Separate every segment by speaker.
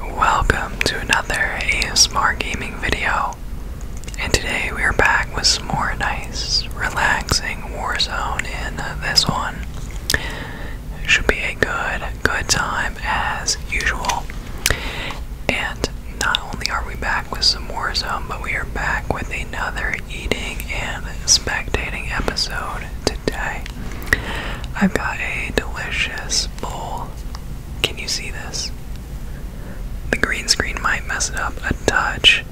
Speaker 1: Welcome to another ASMR gaming video, and today we are back with some more nice, relaxing Warzone in this one. Should be a good, good time as usual. And not only are we back with some Warzone, but we are back with another eating and spectating episode today. I've got a delicious bowl. Can you see this? The green screen might mess it up a touch.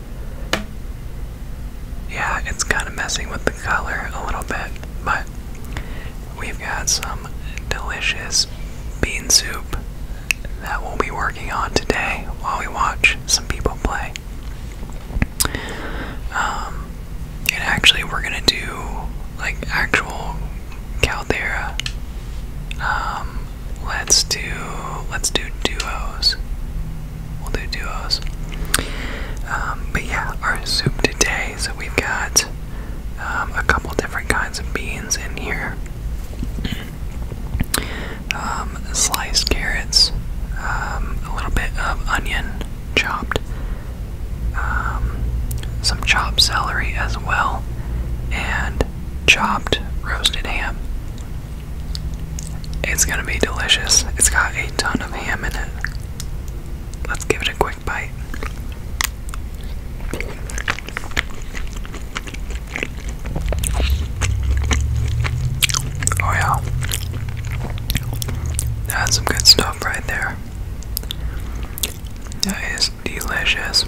Speaker 1: Yeah, it's kind of messing with the color a little bit, but we've got some delicious bean soup that we'll be working on today while we watch some people play. Um, and actually, we're gonna do like actual Caldera. Um, let's do let's do duos. We'll do duos. Um, but yeah, our soup today. So we've got um, a couple different kinds of beans in here. sliced carrots, a little bit of onion chopped, um, some chopped celery as well, and chopped roasted ham. It's gonna be delicious. It's got a ton of ham in it. Let's give it a quick bite. Oh, yeah. That's some good stuff right there. That is delicious.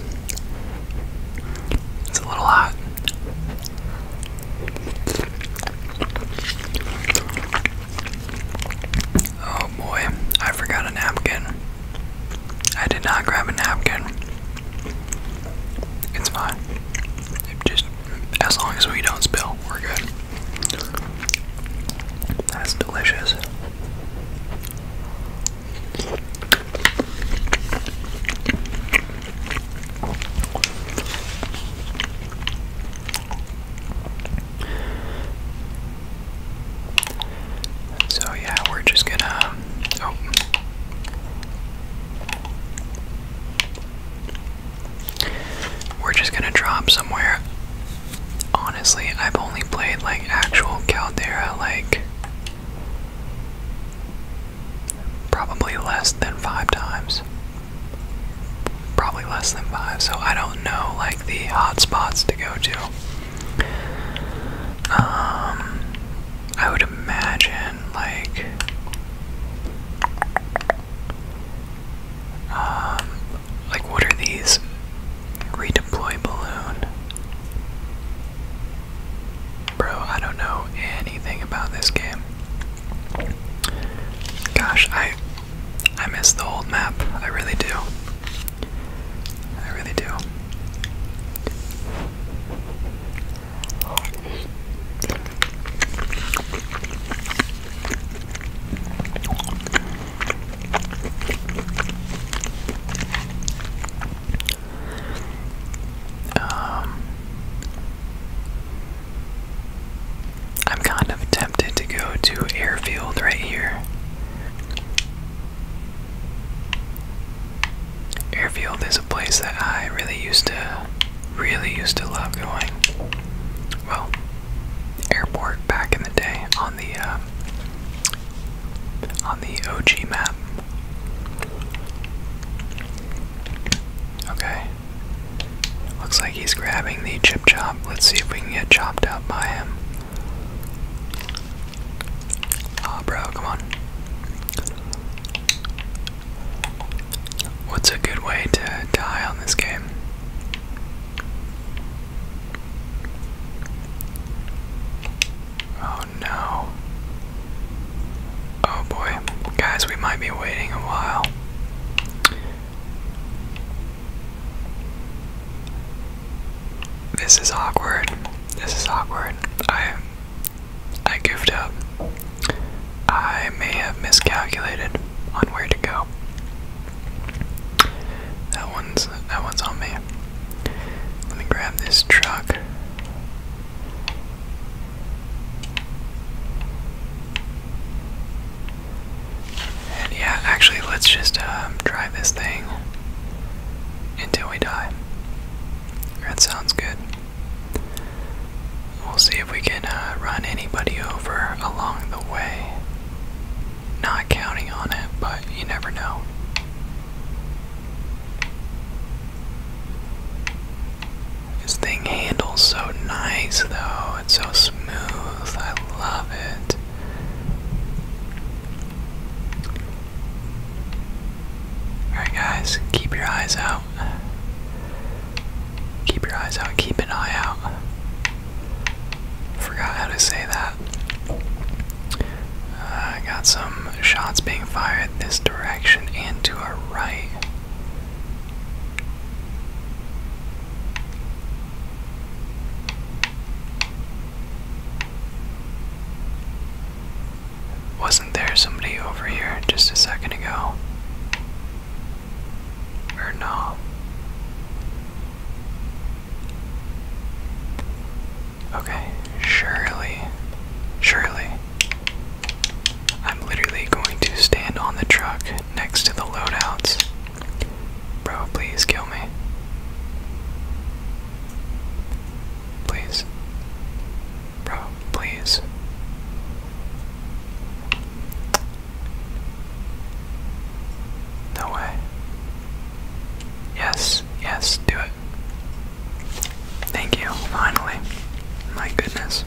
Speaker 1: It's a little hot. Oh boy, I forgot a napkin. I did not grab a napkin. It's fine. just as long as we don't spill, we're good. That's delicious. So, yeah, we're just gonna. Oh. We're just gonna drop somewhere. Honestly, I've only played like actual Caldera like probably less than five times. Probably less than five, so I don't know like the hot spots to go to. Um, I would imagine like um, like, what are these? Redeploy balloon. Bro, I don't know anything about this game. Gosh, I I miss the old map. I really do. I really do. Um, I'm kind of tempted to go to airfield right here. Airfield is a place that I really used to really used to love going. Well, airport back in the day on the uh, on the OG map. Okay. Looks like he's grabbing the chip chop. Let's see if we can get chopped up by him. Ah, bro, come on. What's a good way to die on this game? Oh no. Oh boy. Guys, we might be waiting a while. This is awkward. This is awkward. I I goofed up. I may have miscalculated on where to go. That one's that one's on me. Let me grab this truck. And yeah, actually, let's just um, drive this thing until we die. That sounds good. We'll see if we can uh, run anybody over along the way. Not counting on it, but you never know. This thing handles so nice, though. It's so smooth. I love it. Alright, guys, keep your eyes out. Keep your eyes out, keep an eye out. Forgot how to say that. Uh, I got some shots being fired this direction and to our right. Wasn't there somebody over here just a second ago? Or no? Okay, surely, surely. I'm literally going to stand on the truck next to the loadouts. Bro, please kill me. Please. Bro, please. No way. Yes, yes, do it. Thank you, finally. My goodness.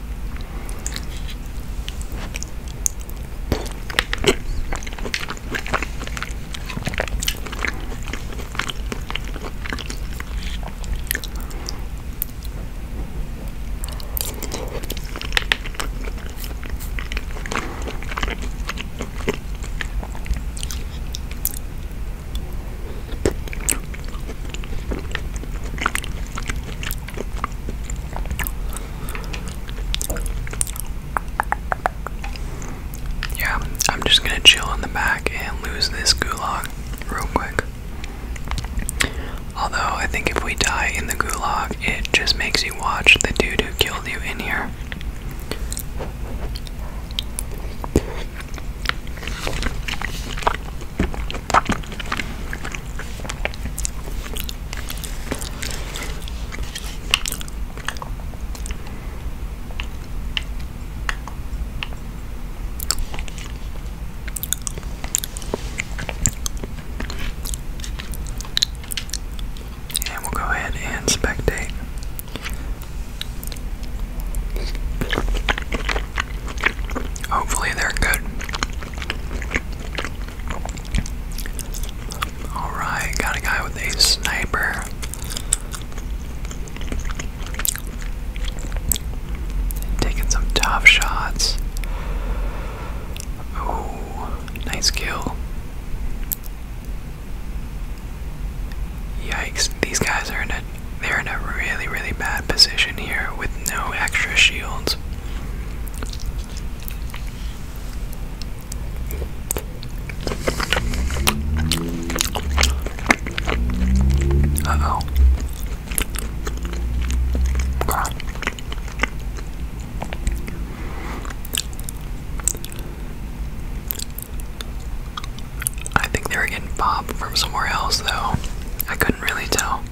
Speaker 1: Yeah, I'm just gonna chill in the back and lose this gulag real quick. Although, I think if we die in the gulag, it just makes you watch the dude who killed you in here. And we'll go ahead and spectate. Hopefully, they're good. Alright, got a guy with a sniper. Taking some tough shots. Oh, nice kill. Yikes, these guys are in a they're in a really, really bad position here with no extra shields. Uh oh. I think they were getting pop from somewhere else, though. I couldn't really tell.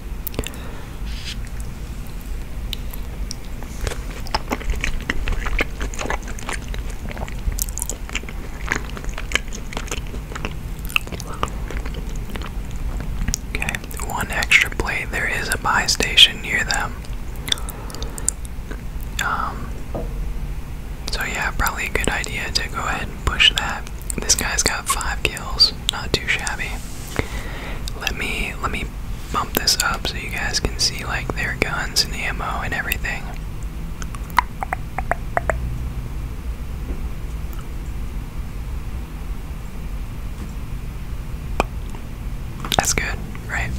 Speaker 1: Okay, one extra plate. There is a buy station near them. Um, so yeah, probably a good idea to go ahead and push that. This guy's got five kills, not too shabby. Let me let me bump this up so you guys can see like their guns and ammo and everything. That's good, right?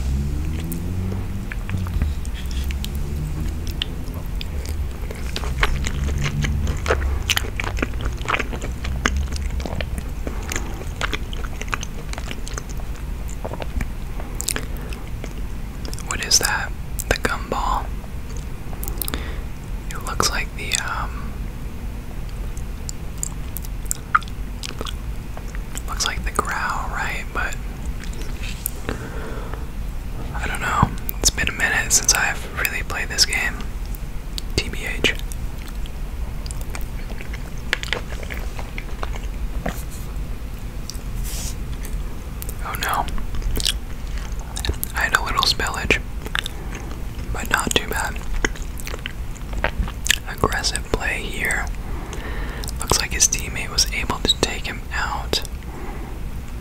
Speaker 1: What is that? The gum ball. It looks like the um looks like the growl, right? But I don't know. It's been a minute since I've really played this game. TBH. Oh no. I had a little spillage, but not too bad. Aggressive play here. Looks like his teammate was able to take him out.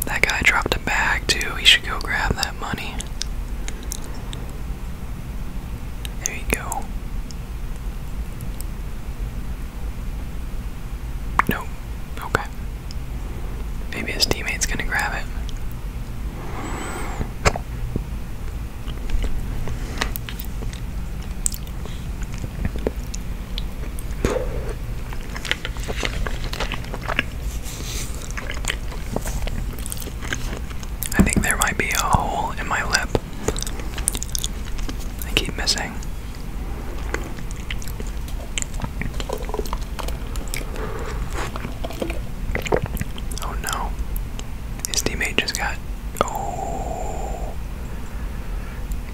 Speaker 1: That guy dropped a bag too. He should go grab that money. There you go. No. Okay. Maybe his teammate's gonna grab it. I think there might be a hole in my lip. I keep missing. Oh no. His teammate just got. Oh.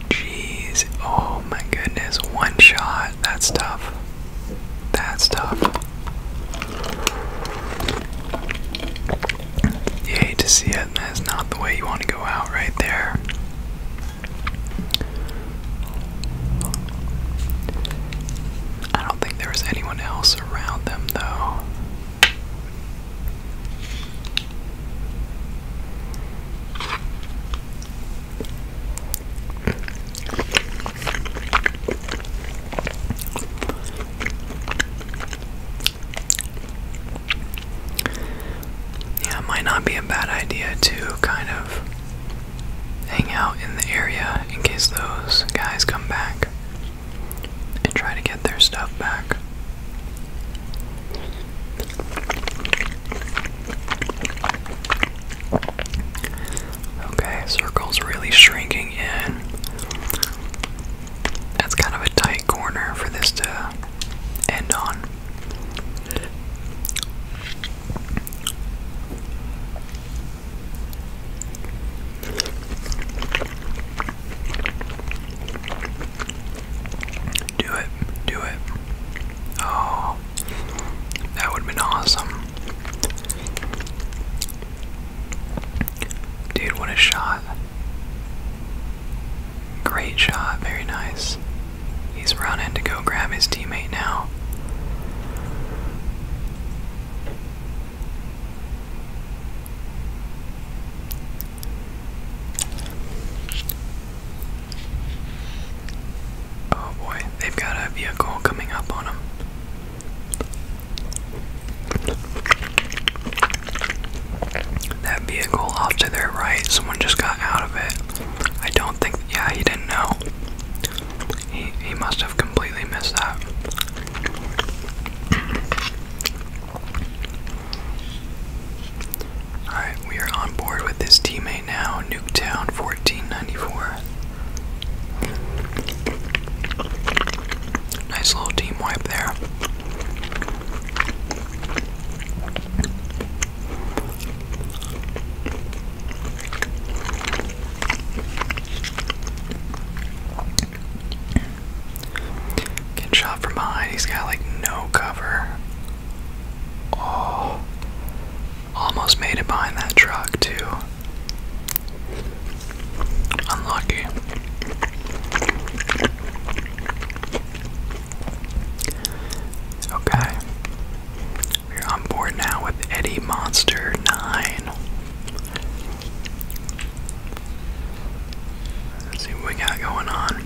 Speaker 1: Jeez. Oh my goodness. One shot. That's tough. That's tough. You hate to see it, and that's not the way you want to go out right there. I don't think there is anyone else around them, though. Yeah, might not be a bad idea to kind of hang out in the area in case those guys come back and try to get their stuff back. Okay, circle's really shrinking in. That's kind of a tight corner for this to end on. Do it, do it. Oh, that would have been awesome. Dude, what a shot. Great shot, very nice. He's running to go grab his teammate now. Oh boy, they've got a vehicle coming up on them. That vehicle off to their right, someone just got out of it. I don't think, yeah, he didn't know. He, he must have completely missed that. Alright, we are on board with this teammate now, Nuketown 1494. Nice little team wipe there. Get shot from behind. He's got like no cover. Oh, almost made it behind that truck, too. Unlucky. Okay. We're on board now with Eddie Monster 9. Let's see what we got going on.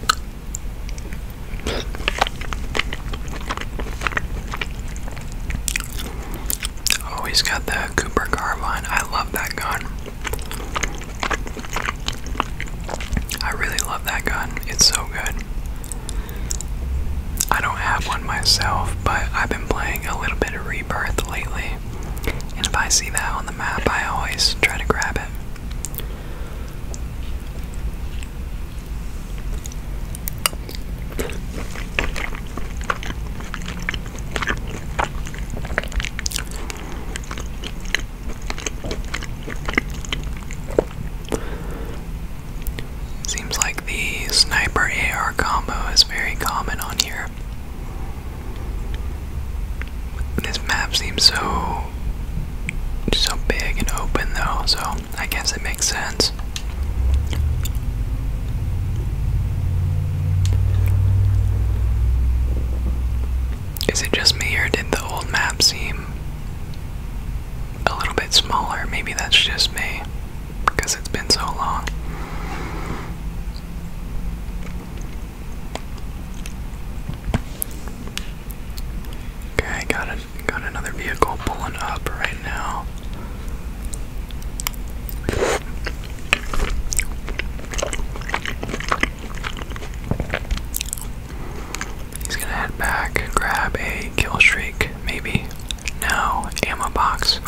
Speaker 1: Oh, he's got the Cooper Carbine. I love that gun. I really love that gun. It's so good. I don't have one myself, but I've been playing a little bit of Rebirth lately. And if I see that on the map, I always try to grab it. Seems like the sniper AR combo is very common on here. This map seems so so big and open though, so I guess it makes sense. Is it just me or did the old map seem a little bit smaller. Maybe that's just me because it's been so long. Okay, got a, got another vehicle pulling up right now. He's gonna head back, grab a kill streak, maybe. No, ammo box.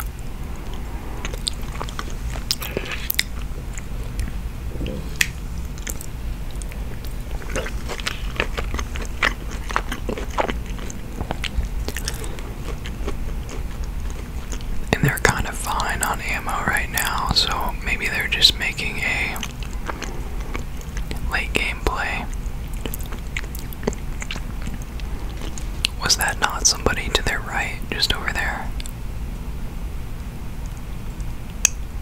Speaker 1: And they're kind of fine on ammo right now, so maybe they're just making a Late gameplay. Was that not somebody to their right, just over there?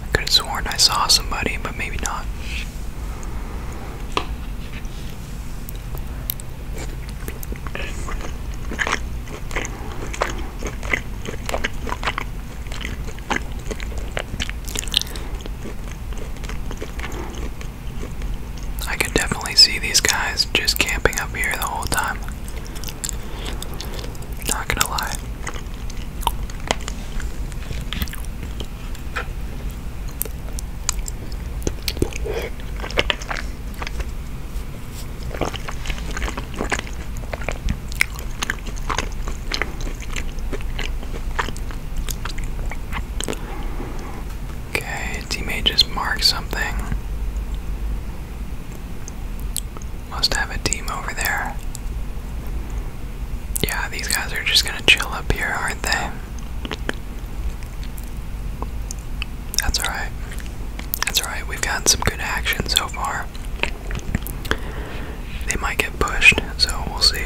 Speaker 1: I could have sworn I saw somebody, but maybe not. I could definitely see these guys just camping up here the whole time. Not gonna lie. Okay, teammate just marked something. Must have a team over there. Yeah, these guys are just gonna chill up here, aren't they? That's alright. That's alright, we've gotten some good action so far. They might get pushed, so we'll see.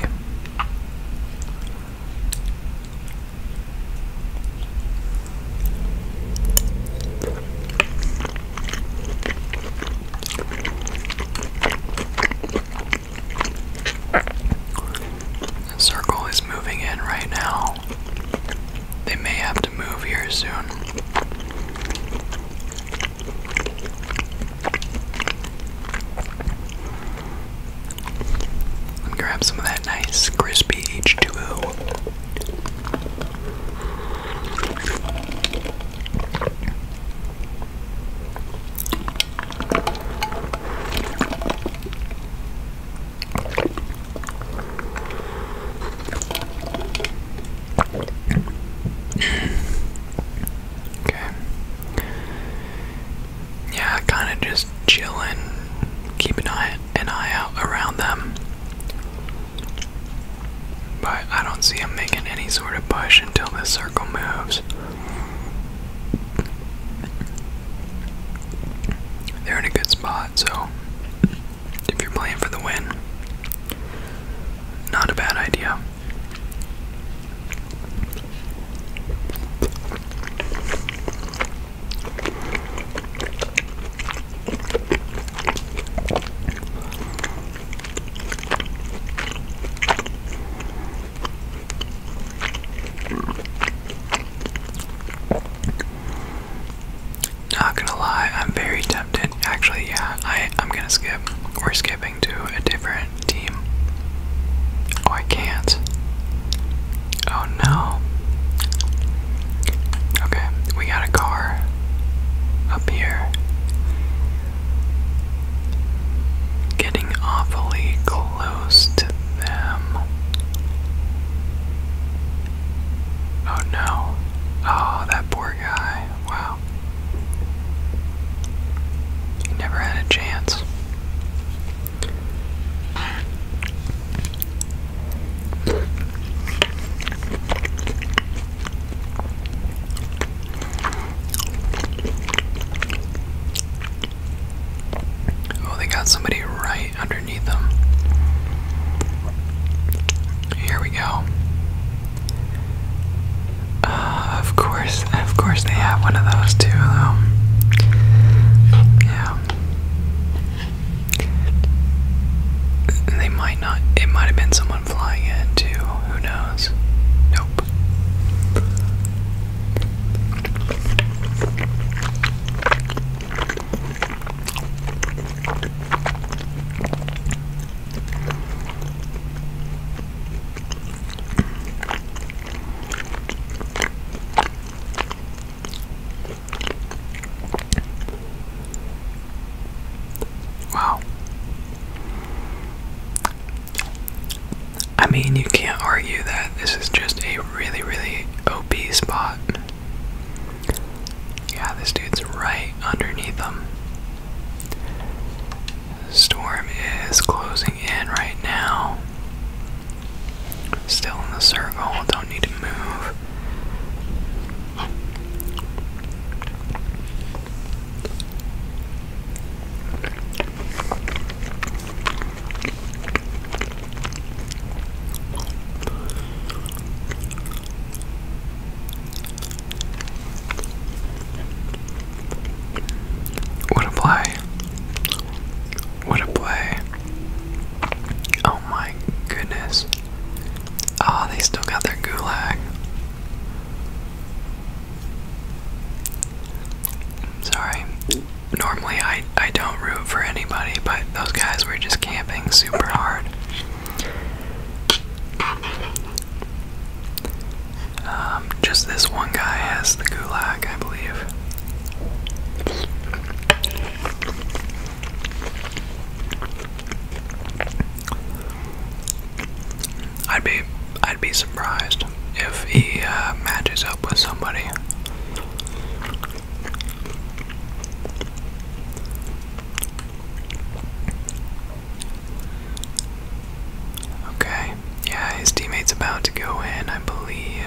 Speaker 1: The circle is moving in right now. They may have to move here soon. And grab some of that nice crispy H2O okay. Yeah, kind of just chilling, keep an eye an eye out around them. But I don't see them making any sort of push until this circle moves. They're in a good spot, so if you're playing for the win. Not a bad idea. Not gonna lie, I'm very tempted. Actually, yeah, I, I'm gonna skip. We're skipping to a different team. Oh, I can't. Oh no. Okay, we got a car up here. Getting awfully close to them. Oh no. Oh, that poor guy. Wow. He never had a chance. Oh, they got somebody right underneath them. Here we go. Uh, of course, of course they have one of those too, Yeah. They might not, it might have been someone flying in too, who knows? Nope. Wow. I mean, you can't argue that this is just a really, really OP spot. Yeah, this dude's right underneath them. Storm is closing in right now. Still in the circle, don't need to move. What a play. What a play. Oh my goodness. Ah, oh, they still got their gulag. sorry. Normally I I don't root for anybody, but those guys were just camping super hard. Um, just this one guy has the gulag, I believe. I'd be I'd be surprised if he uh, matches up with somebody. Okay, yeah, his teammate's about to go in, I believe.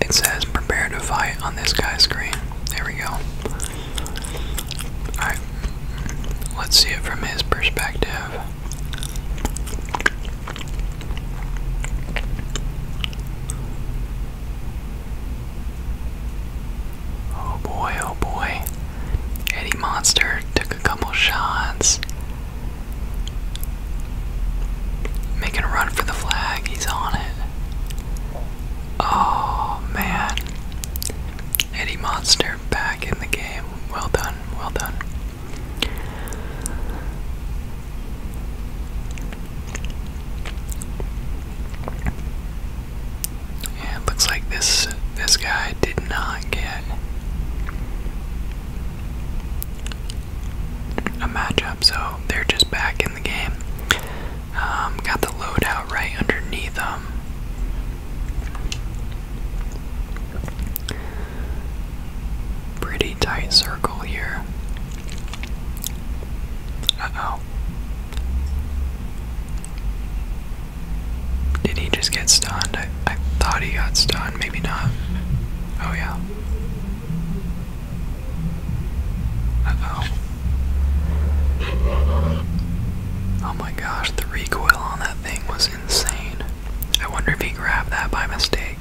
Speaker 1: It says prepare to fight on this guy's screen. There we go. Alright. Let's see it from his perspective. Oh boy, oh boy. Eddie Monster took a couple shots. Making a run for the flag. He's on it. Oh man. Eddie Monster back in the game. Well done, well done. Yeah, it looks like this this guy did not get a matchup, so they're just back in the game. Um, got the loadout right underneath them. Um, pretty tight circle here. Uh oh. Did he just get stunned? I, I thought he got stunned, maybe not. Oh, yeah. Oh my gosh, the recoil on that thing was insane. I wonder if he grabbed that by mistake.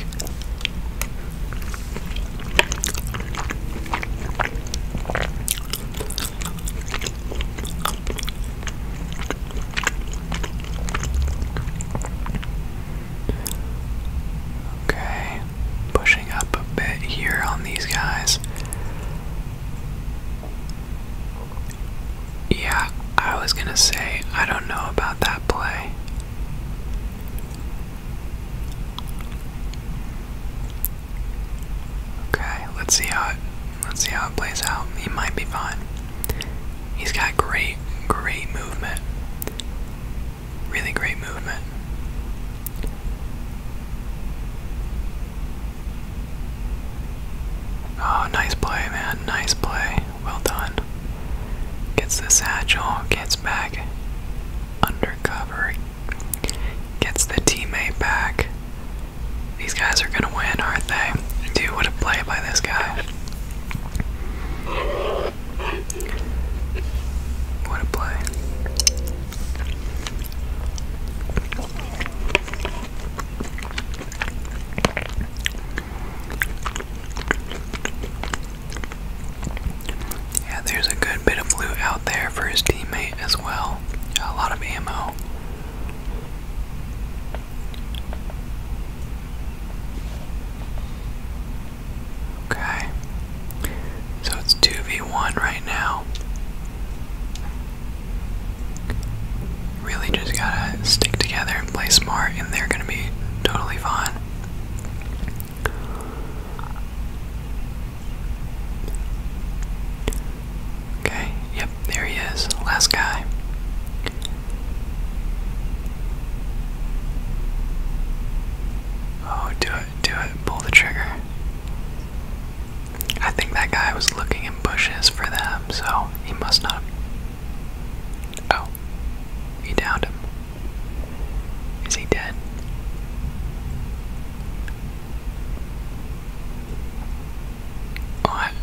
Speaker 1: Okay pushing up a bit here on these guys. Yeah, I was gonna say, I don't know about that play. Okay, let's see how let's see how it plays out. He might be fine. He's got great, great movement. Really great movement. Oh, nice play, man. Nice play. Well done. Gets the satchel, gets back under cover, gets the teammate back. These guys are gonna win, aren't they? Dude, what a play by this guy. What a play. Yeah, there's a good bit of loot out there for his teammate as well. A lot of ammo. Okay. So it's 2v1 right now. Really just gotta stick together and play smart, and they're gonna be totally fine. Okay, yep, there he is. Last guy. Oh, do it, do it, pull the trigger. I think that guy was looking in bushes for them, so he must not. Oh, he downed him. Is he dead? What?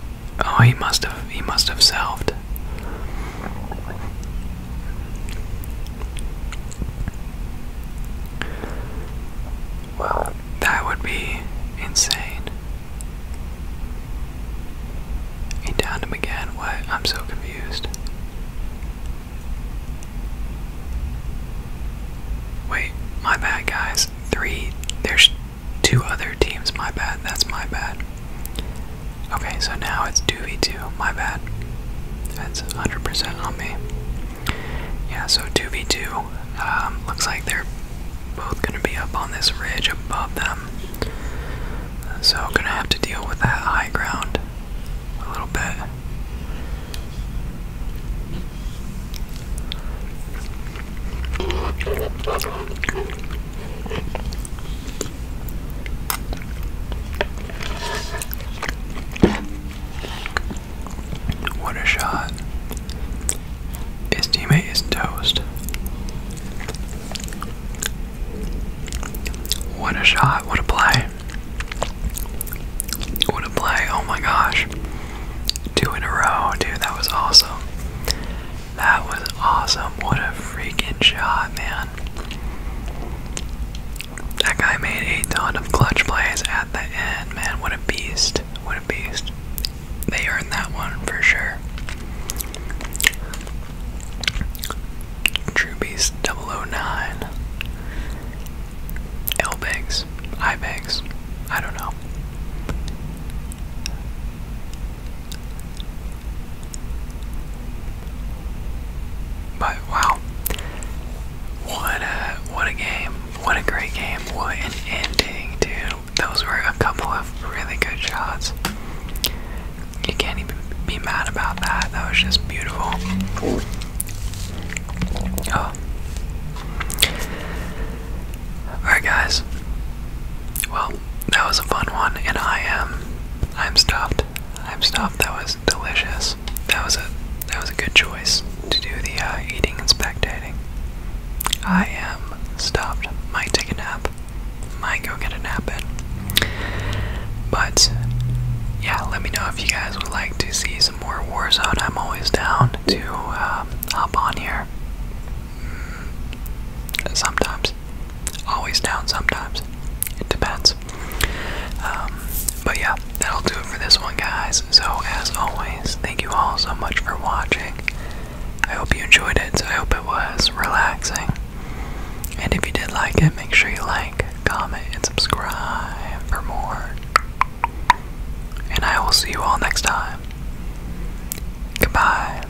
Speaker 1: Oh, he must have. He must have selved. Wow. That would be insane. He downed him again. What? I'm so confused. Wait, my bad, guys. Three. There's two other teams. My bad. That's my bad. Okay, so now it's 2v2. My bad. That's 100% on me. Yeah, so 2v2. Um, looks like they're both going to be up on this ridge above them. So, going to have to deal with that high ground a little bit. What a shot. His teammate is toast. What a shot. What a play. What a play. Oh my gosh. Two in a row, dude. That was awesome. That was awesome. What a freaking shot, man. That guy made a ton of clutch plays at the end, man. What a beast. What a beast. They earned that one for sure. True Beast 009. L Bigs. I Bigs. I don't know. But wow, what a what a game! What a great game! What an ending, dude! Those were a couple of really good shots. You can't even be mad about that. That was just beautiful. Oh. Alright guys. Well, that was a fun one and I am I'm stuffed. I'm stuffed. That was delicious. That was a that was a good choice to do the uh, eating and spectating. I am stopped. Might take a nap. Might go get a nap in. But yeah, let me know if you guys would like to see some more Warzone. I'm always down to um, hop on here. Mm, sometimes. Always down sometimes. It depends. Um, but yeah, that'll do it for this one, guys. So, as always, thank you all so much for watching. I hope you enjoyed it. So I hope it was relaxing. And if you did like it, make sure you like, comment, and subscribe for more. And I will see you all next time. Goodbye.